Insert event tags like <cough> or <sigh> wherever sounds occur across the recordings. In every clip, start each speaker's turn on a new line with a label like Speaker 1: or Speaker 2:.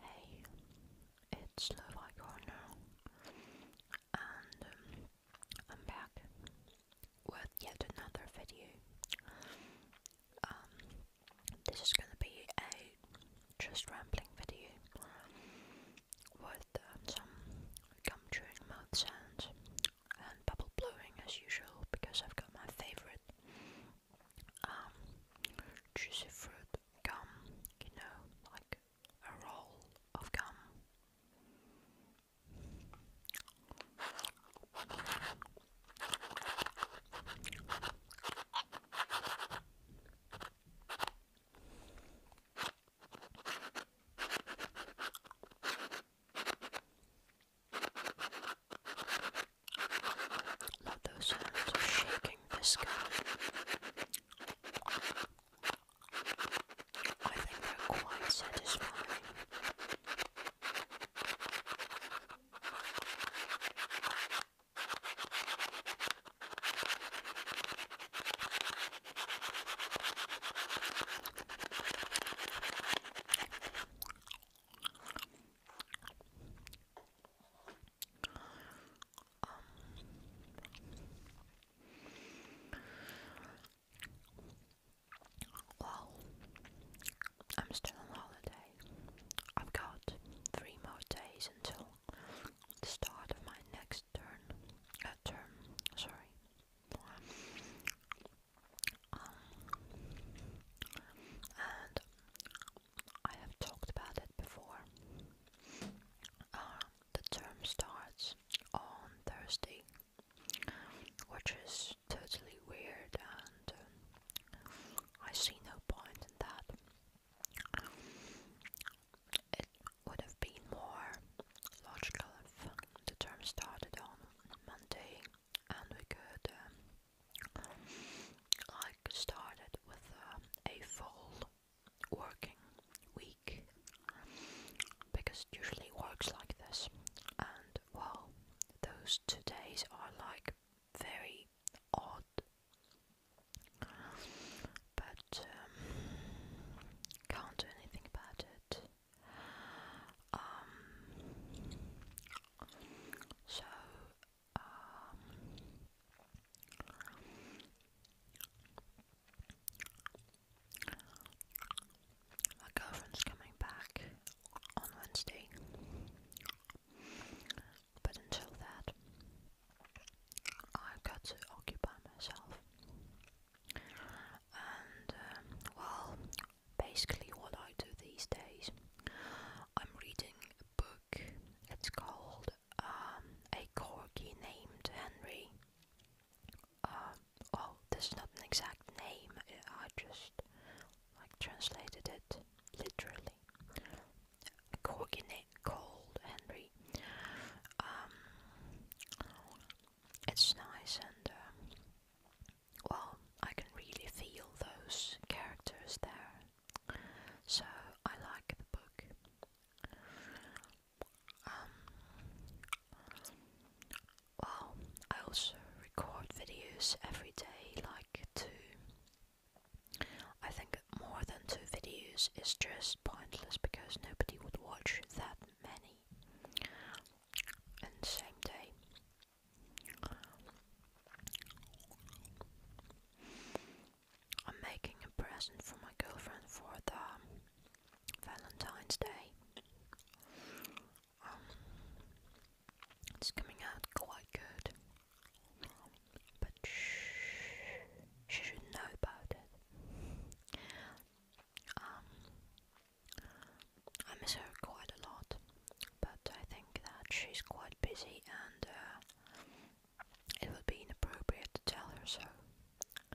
Speaker 1: Hey, it's Levi Corner, and um, I'm back with yet another video. Um, this is gonna be a just rambling video with with um, some gum chewing mouth sounds and bubble blowing as usual because I've got my favorite um, juicy fruit gum, you know, like a roll of gum. Love those sounds of shaking Visco. I think they're quite satisfying. Um, well, I'm still on holiday. I've got three more days until the start of my next this turn, uh, term, sorry. Um, and I have talked about it before. Um, the term starts on Thursday, which is totally weird, and uh, I see no point in that it would have been more logical if the term started on Monday and we could um, like start it with um, a full working week because it usually works like this and well those two days are like very odd but um, can't do anything about it. Um, so, um, my girlfriend's coming back on Wednesday, but until that, i got to occupy myself. And um, well, basically, what I do these days, I'm reading a book. It's called um, A Corgi Named Henry. Uh, oh, this is not an exact name. I just like translated it literally. corgi named called Henry. Um, it's nice and uh, well, I can really feel those characters there, so I like the book. Um, well, I also record videos every day, like two. I think more than two videos is just pointless because nobody would watch that many in same day. I'm making a present for my girlfriend for the Valentine's Day. Um, it's coming out quite good. But she should know about it. Um, I miss her quite a lot, but I think that she's quite busy and uh, it would be inappropriate to tell her so.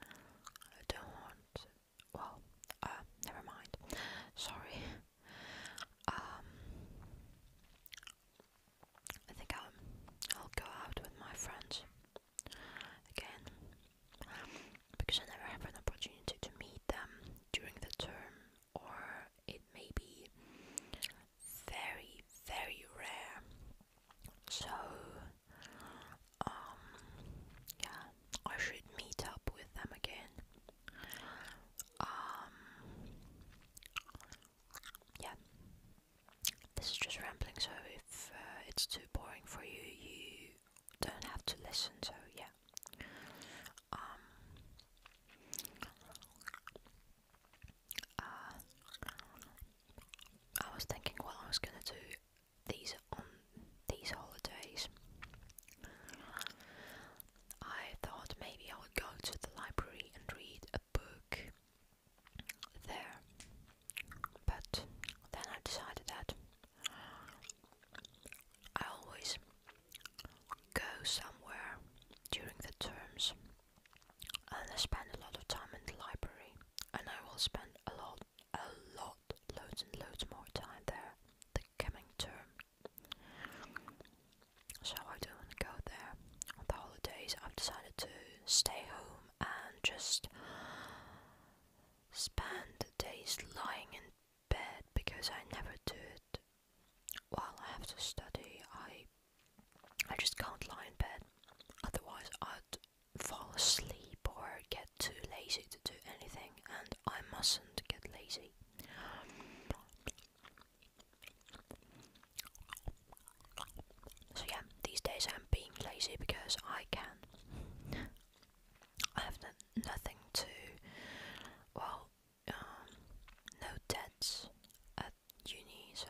Speaker 1: I don't Well, uh, never mind. Sorry. Um, I think I'll go out with my friends again because I never have an opportunity to meet them during the term, or it may be very, very rare. So, um, yeah, I should meet up with them again. Um, yeah, this is just rambling. So if uh, it's too boring for you, you don't have to listen. So yeah, um, uh, I was thinking what I was gonna do these on these holidays. I thought maybe I would go to the library and read a book there, but then I decided that I always go somewhere during the terms and I spend a lot of time in the library, and I will spend a lot, a lot, loads and loads more time there the coming term. So I don't go there on the holidays, I've decided to stay home and just spend the days lying in bed because I never do it while I have to study. I I just can't lie in bed, otherwise I'd fall asleep or get too lazy to do anything, and I mustn't get lazy. So yeah, these days I'm being lazy because I can. I have nothing to, well, um, no debts at uni, so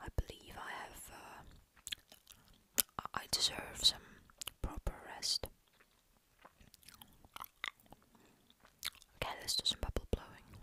Speaker 1: I believe I have, uh, I deserve some proper rest. Okay, let's do some bubble blowing.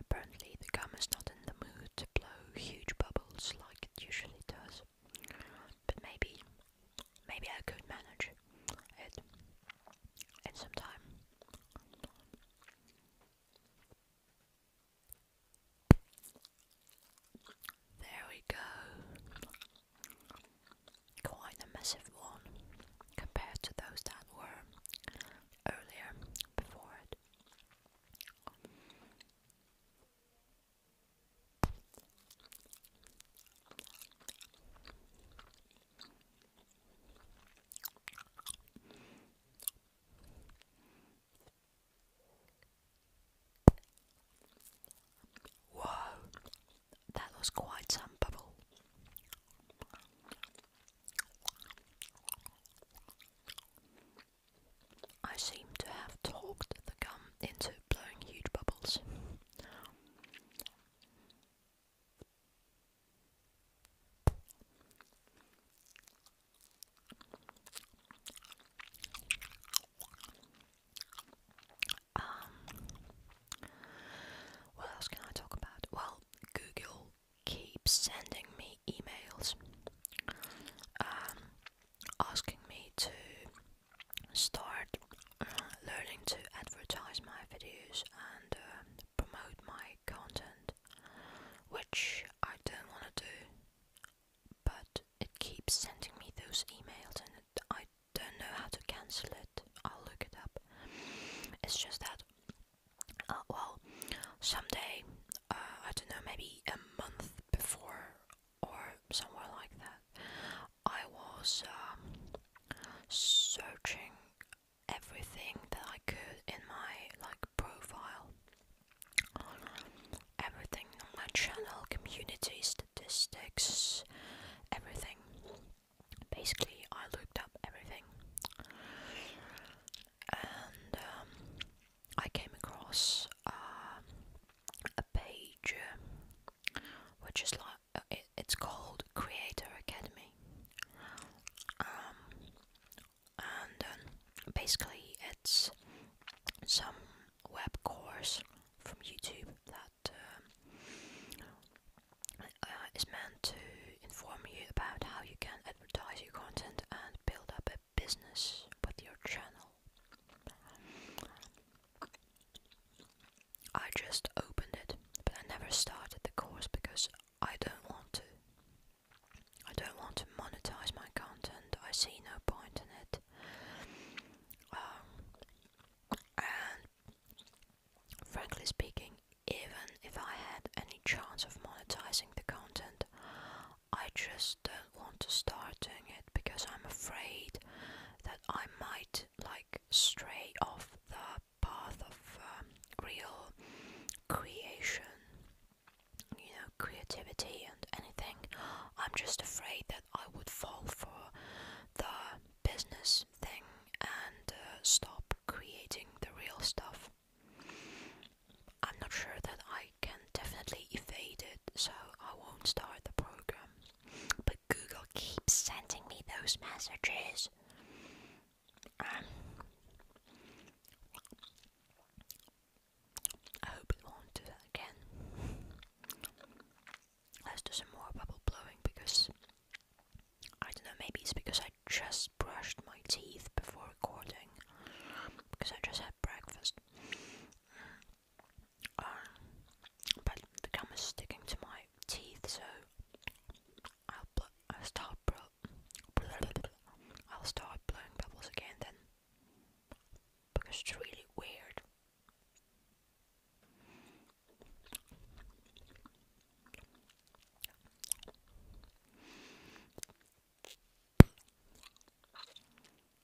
Speaker 1: Apparently, the gum is not in the mood to blow huge bubbles like it usually does but maybe maybe I could manage it at some time. There we go. Quite a massive one compared to those that were earlier before it. Whoa, that was quite some bubble. I seem to have talked the gum into blowing huge bubbles. Um, what else can I talk about? Well, Google keeps sending me emails. Um, asking me to start uh, learning to advertise my videos and uh, promote my content, which I don't want to do, but it keeps sending me those emails and I don't know how to cancel it. I'll look it up. It's just that, uh, well, someday, I don't know, maybe a month before or somewhere like that. I was um, searching everything that I could in my like profile, everything on my channel, community statistics, everything. Basically, I looked up everything, and um, I came across um, a page um, which is like uh, it's called Creator Academy, um, and um, basically it's some web course from YouTube that uh, is meant to inform you about how you can advertise your content and build up a business with your channel. I just opened it, but I never started the course because I don't want to. I don't want to monetize my content, I see no point in it. Um, and frankly speaking, even if I had any chance of monetizing the content, I just don't want to start doing it because I'm afraid that I might like stray off the path of um, real creation, you know, creativity and anything. I'm just afraid that I would fall for the business thing and uh, stop creating the real stuff. I'm not sure that I can definitely evade it so I won't start the program. But Google keeps sending me those messages. Um, I hope it won't do again. Let's do some more bubble blowing because I don't know, maybe it's because I just brushed my teeth before recording because I just had breakfast. Uh, but the gum is sticking to my teeth, so I'll, I'll start I'll start blowing bubbles again then, because it's really weird.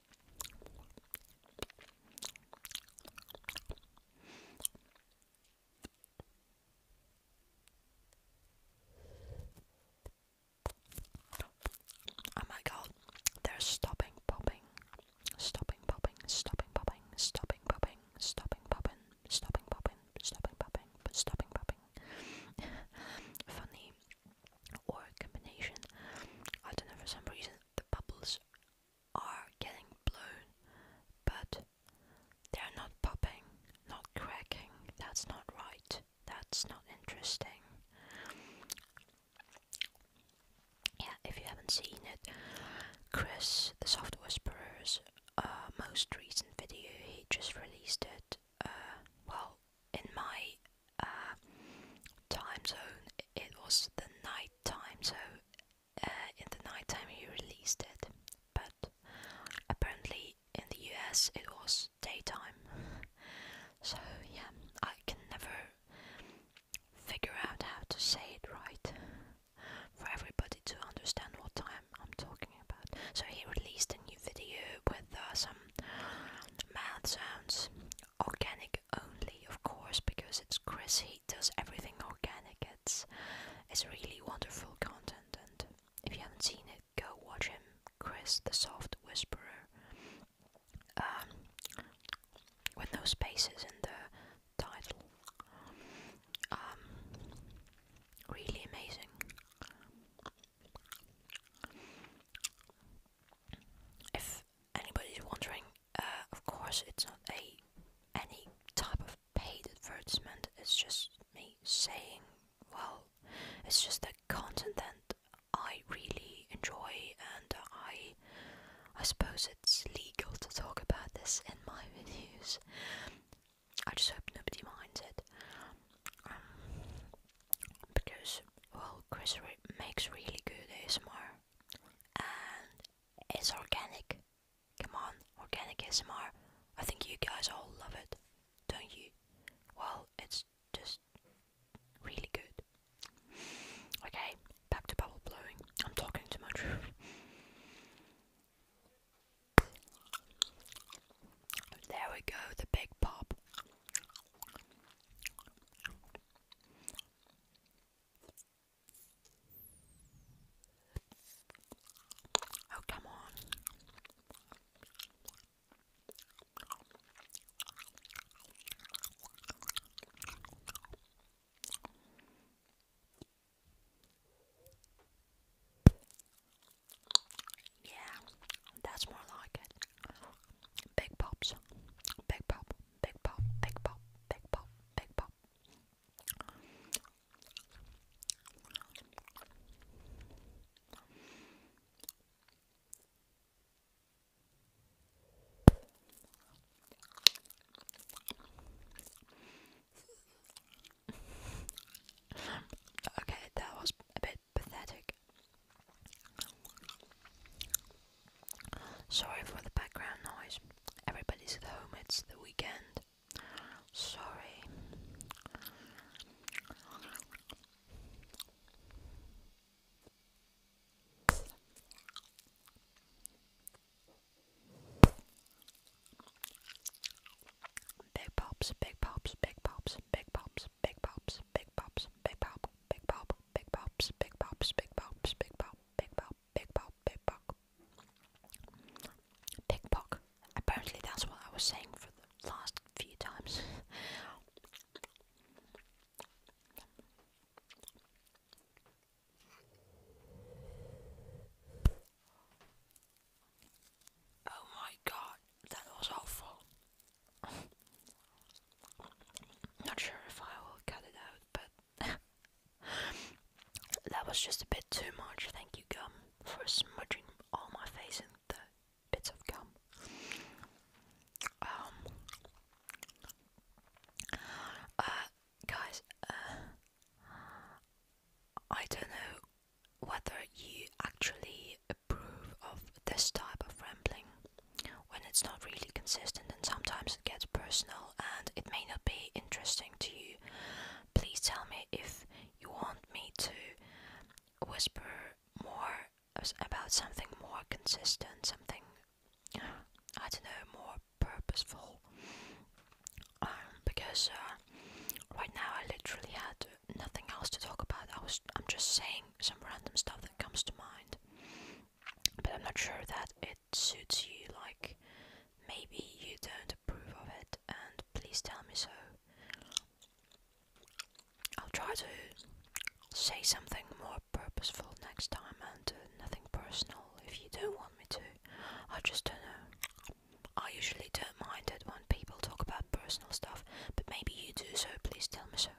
Speaker 1: Oh my god, they're stopping popping, stopping popping, stopping popping, stopping popping, stopping popping, stopping popping, stopping popping, but stopping popping. <laughs> Funny or combination. I don't know for some reason the bubbles are getting blown, but they're not popping, not cracking. That's not right. That's not interesting. Yeah, if you haven't seen it, Chris, the Soft Whisperer's uh, most recent video, he just released it. Uh, well, in my uh, time zone, it was the night time, so uh, in the night time he released it. But apparently in the US it was daytime. So yeah, I can never figure out how to say it right for everybody to understand what time I'm talking about. So he released a new video with uh, some mouth sounds organic only, of course, because it's Chris. He does everything organic. It's it's really wonderful content, and if you haven't seen it, go watch him, Chris the Soft Whisperer. Um, with no spaces in the title. Um, really amazing anybody's wondering, uh, of course it's not a any type of paid advertisement. It's just me saying, well, it's just a content that I really enjoy, and I, I suppose it's legal to talk about this in my <laughs> videos. I just hope nobody minds it. Um, because well Chris makes really good ASMR and it's organic. Come on, organic ASMR. I think you guys all love it, don't you? Well, it's just really good. Okay, back to bubble blowing. I'm talking too much. There we go, the big pop. Oh, come on. Yeah, that's more like it. Big pops. Big pop. Big pop. Big pop. Big pop. Big pop. okay, that was a bit pathetic. Sorry for the background noise. Everybody's at home, it's the weekend. Sorry. Big pops, big pops, big pops, big pops big pops, big pops, big pop, big pop, big pops, big pops, big pops, big pop, big pop, big pop, big pop. Pickpock. Apparently that's what I was saying for the last few times. Oh my god, that was awful. Not sure if I will cut it out, but <laughs> that was just a bit too much. Thank you, gum, for smudging all my face and the bits of gum. Um, uh, guys, uh, I don't know whether you actually approve of this type of rambling when it's not really consistent and sometimes it gets personal and it may not be interesting to you. Please tell me if you want me to whisper more about something more consistent, something I don't know, more purposeful. Um, because uh, right now I literally had nothing else to talk about. I was I'm just saying some random stuff that comes to mind. But I'm not sure that it suits you like maybe you don't approve of it and please tell me so. I'll try to say something more purposeful next time and nothing personal if you don't want me to. I just don't know. I usually don't mind it when people talk about personal stuff, but maybe you do, so please tell me so.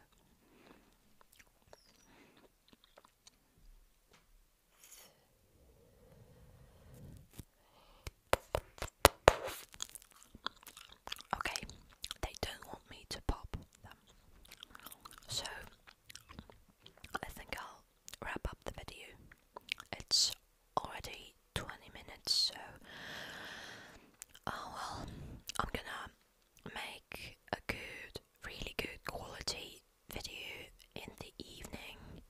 Speaker 1: Okay, they don't want me to pop them. So I think I'll wrap up the video. It's already 20 minutes, so oh well, I'm gonna make a good, really good quality video in the evening.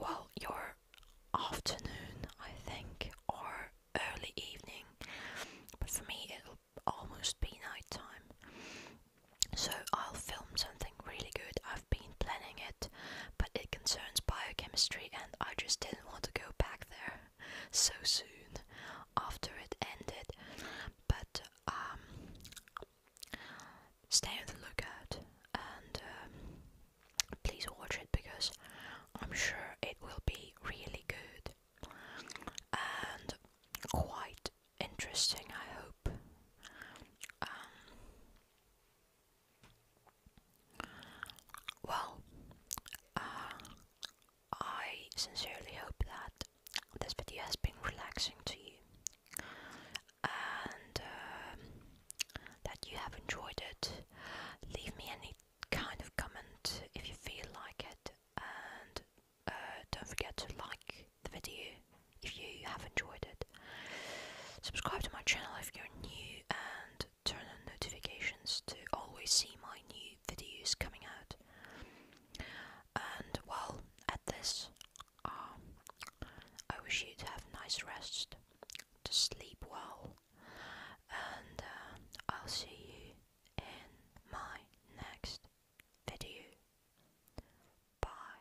Speaker 1: Well, your afternoon, I think, or early evening, but for me, it'll almost be nighttime. So, I'll film something really good. I've been planning it, but it concerns biochemistry, and I just didn't want to go back there so soon after it ended. But um, stay on the lookout and um, please watch it because I'm sure it will be really good and quite interesting. I hope. Um, well, uh, I sincerely hope that this video has been relaxing to you and um, that you have enjoyed it. Leave me any kind of comment if you feel like it, and uh, don't forget to like the video if you have enjoyed it. Subscribe to my channel if you're new, and turn on notifications to always see my new videos coming out. And well, at this, um, I wish you to have nice rest, to sleep well, and uh, I'll see you in my next video. Bye.